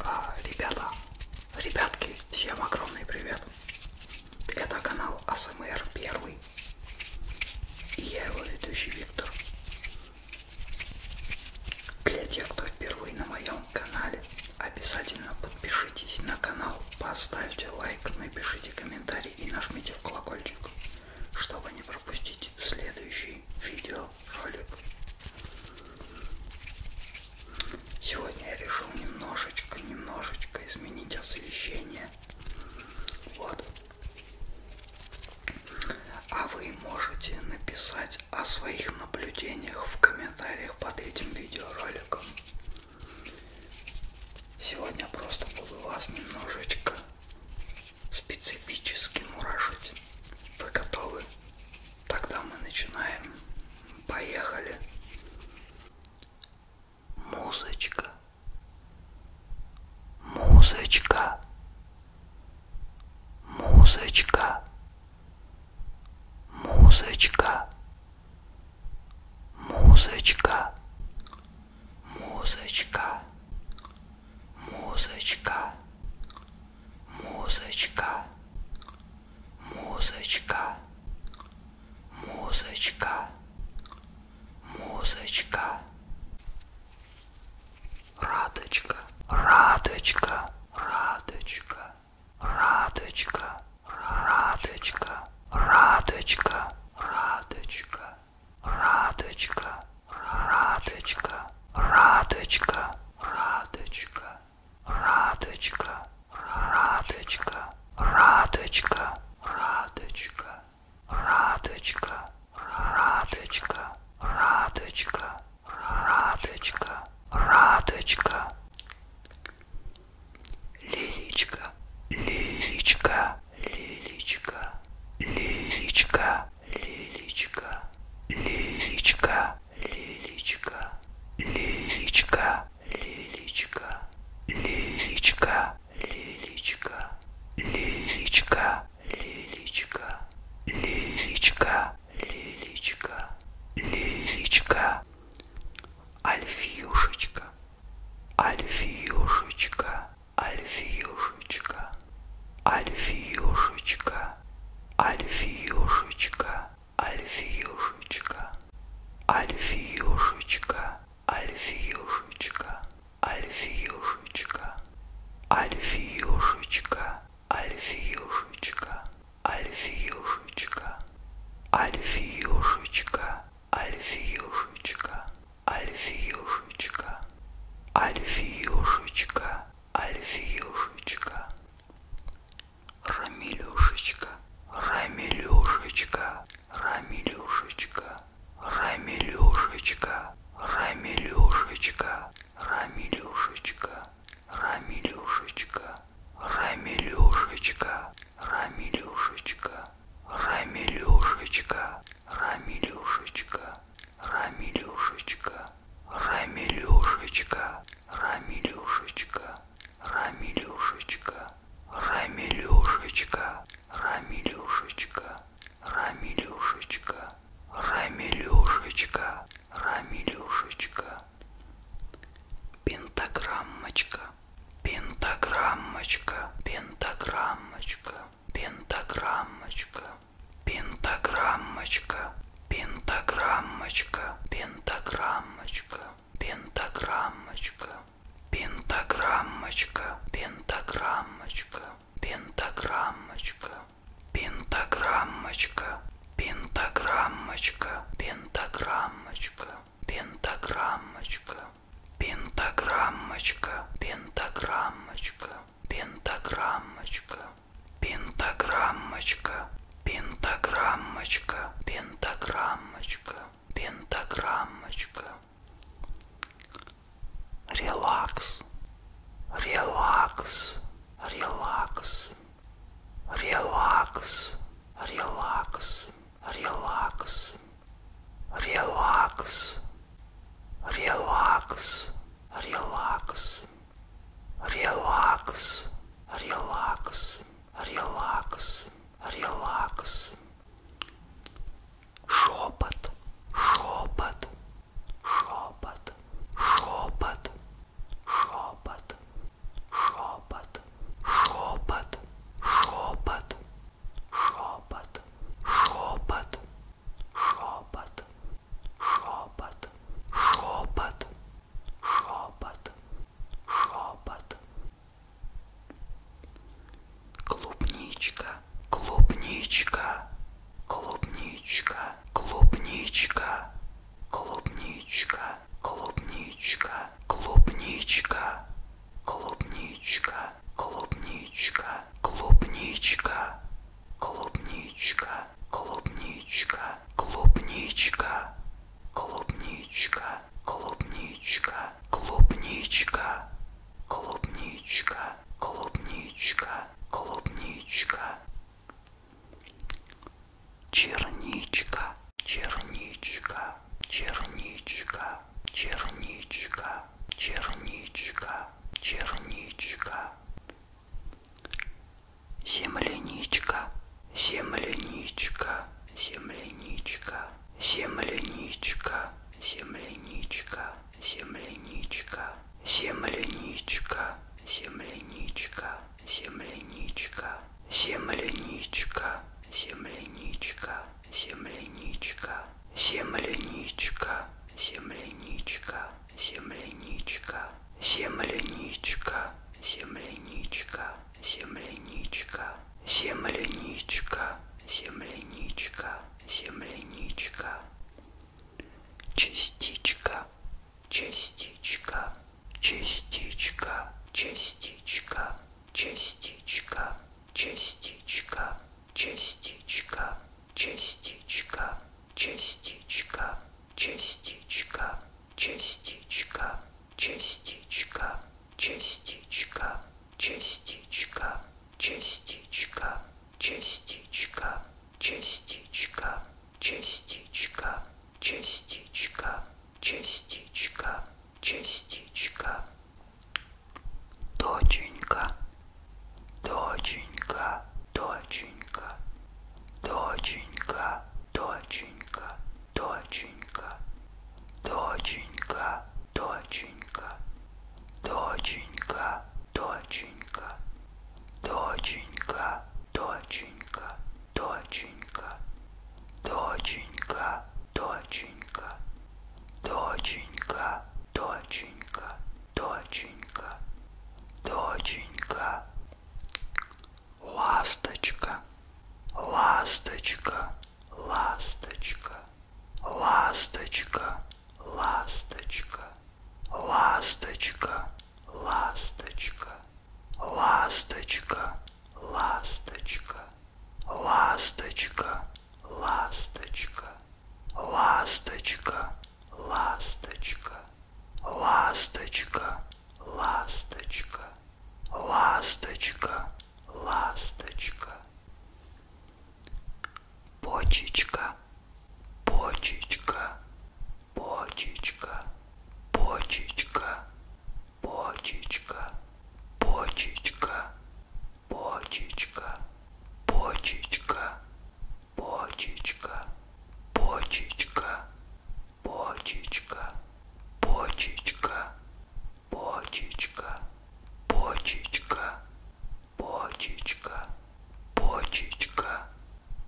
А, ребята, ребятки, всем огромный привет. Это канал АСМР Первый. И я его ведущий Виктор. Для тех, кто впервые на моем канале, обязательно подпишитесь на канал, поставьте лайк, напишите комментарий комментарий и нажмите в колокольчик, чтобы не пропустить следующий видеоролик. Сегодня я решил немножечко, немножечко изменить освещение. Вот. А вы можете написать о своих наблюдениях в комментариях под этим видеороликом. Сегодня просто буду вас немножечко специфически мурашить. Вы готовы? Тогда мы начинаем. Поехали. Музычка. Музычка. Музычка. Музычка. Музычка, музычка, музычка, музычка, музычка, музычка, музычка. Радочка, радочка, радочка, радочка радочка, радочка, радочка, радочка, радочка, радочка, радочка, радочка, радочка, радочка, радочка, радочка, радочка, радочка, радочка, радочка лиличка, лиличка, лиличка, лиличка, лиличка, лиличка, лиличка, лиличка, лиличка, лиличка, лиличка, лиличка, лиличка, лиличка, лиличка, лиличка, альфьюшечка, Альфиюшечка, Альфиюшечка, Альфиюшечка, Альфиюшечка, Альфиюшечка, Альфиюшечка, Альфиюшечка, Альфиюшечка, Альфиюшечка, Альфиюшечка, Альфиюшечка, Альфиюшечка, Альфиюшечка, Альфиюшечка, Альфиюшечка, Альфиюшечка, Рамилюшечка, Рамилюшечка, Рамилюшечка, Рамилюшечка, Рамилюшечка, Рамилюшечка, Рамилюшечка, Рамилюшечка, Рамилюшечка, Рамилюшечка, Рамилюшечка, Рамилюшечка, Рамилюшечка, Рамилюшечка, Рамилюшечка, Рамилюшечка, Рамилюшечка, Рамилюшечка, Рамилюшечка, Рамилюшечка, пентаграммочка, пентаграммочка, пентаграммочка, пентаграммочка, пентаграммочка, пентаграммочка, пентаграммочка, пентаграммочка, пентаграммочка, пентаграммочка, пентаграммочка, пентаграммочка, пентаграммочка, пентаграммочка пентаграммочка, пентаграммочка, пентаграммочка, пентаграммочка, пентаграммочка, пентаграммочка, пентаграммочка, пентаграммочка. Релакс, релакс, релакс, relax, relax, relax, relax, relax, relax, relax, relax, relax, relax. Шепот, шепот, шепот, шепот, шепот. шепот, шепот, шепот, шепот, шепот, шепот, шепот, шепот, шепот, шепот. Клубничка, клубничка, клубничка, клубничка, клубничка клубничка, клубничка, клубничка, клубничка, клубничка, клубничка, клубничка, клубничка, клубничка, клубничка, клубничка, клубничка, клубничка, клубничка черничка, черничка, черничка, черничка, черничка, черничка, земляничка, земляничка, земляничка, земляничка, земляничка, земляничка, земляничка, земляничка земляничка, земляничка, земляничка, земляничка, земляничка, земляничка, земляничка, земляничка, земляничка, земляничка, земляничка, земляничка, земляничка, частичка, частичка частичка, частичка, частичка, частичка, частичка, частичка, частичка, частичка, частичка, частичка, частичка, частичка, частичка, частичка, частичка, частичка частичка, частичка, частичка. Доченька, доченька, доченька, доченька, доченька, доченька, доченька, доченька, доченька, доченька доченька, доченька, доченька, доченька, доченька, доченька, доченька, доченька, доченька, ласточка, ласточка, ласточка, ласточка, ласточка, ласточка ласточка, ласточка, ласточка, ласточка, ласточка, ласточка, ласточка, ласточка, ласточка, ласточка, ласточка, почечка, почечка, почечка, почечка, почечка, почечка, почечка, почечка, почечка, почечка, почечка, почечка, почечка, почечка, почечка, почечка,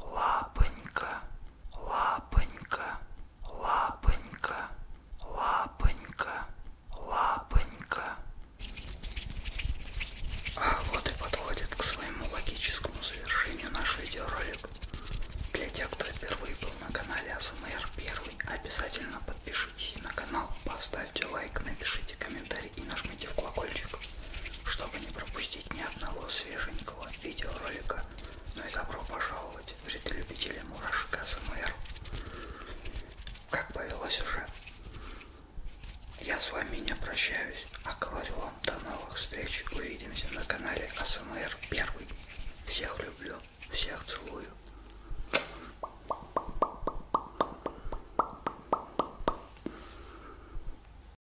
лапонька, лапонька, лапонька, лапонька, лапонька. А вот и подходит к своему логическому завершению наш видеоролик. Для тех, кто впервые был на канале АСМР Первый, обязательно подпишитесь на канал, поставьте лайк, напишите комментарий и нажмите в колокольчик чтобы не пропустить ни одного свеженького видеоролика. Ну и добро пожаловать, вредолюбители мурашек СМР. Как повелось уже, я с вами не прощаюсь, а говорю вам до новых встреч. Увидимся на канале АСМР 1. Всех люблю, всех целую.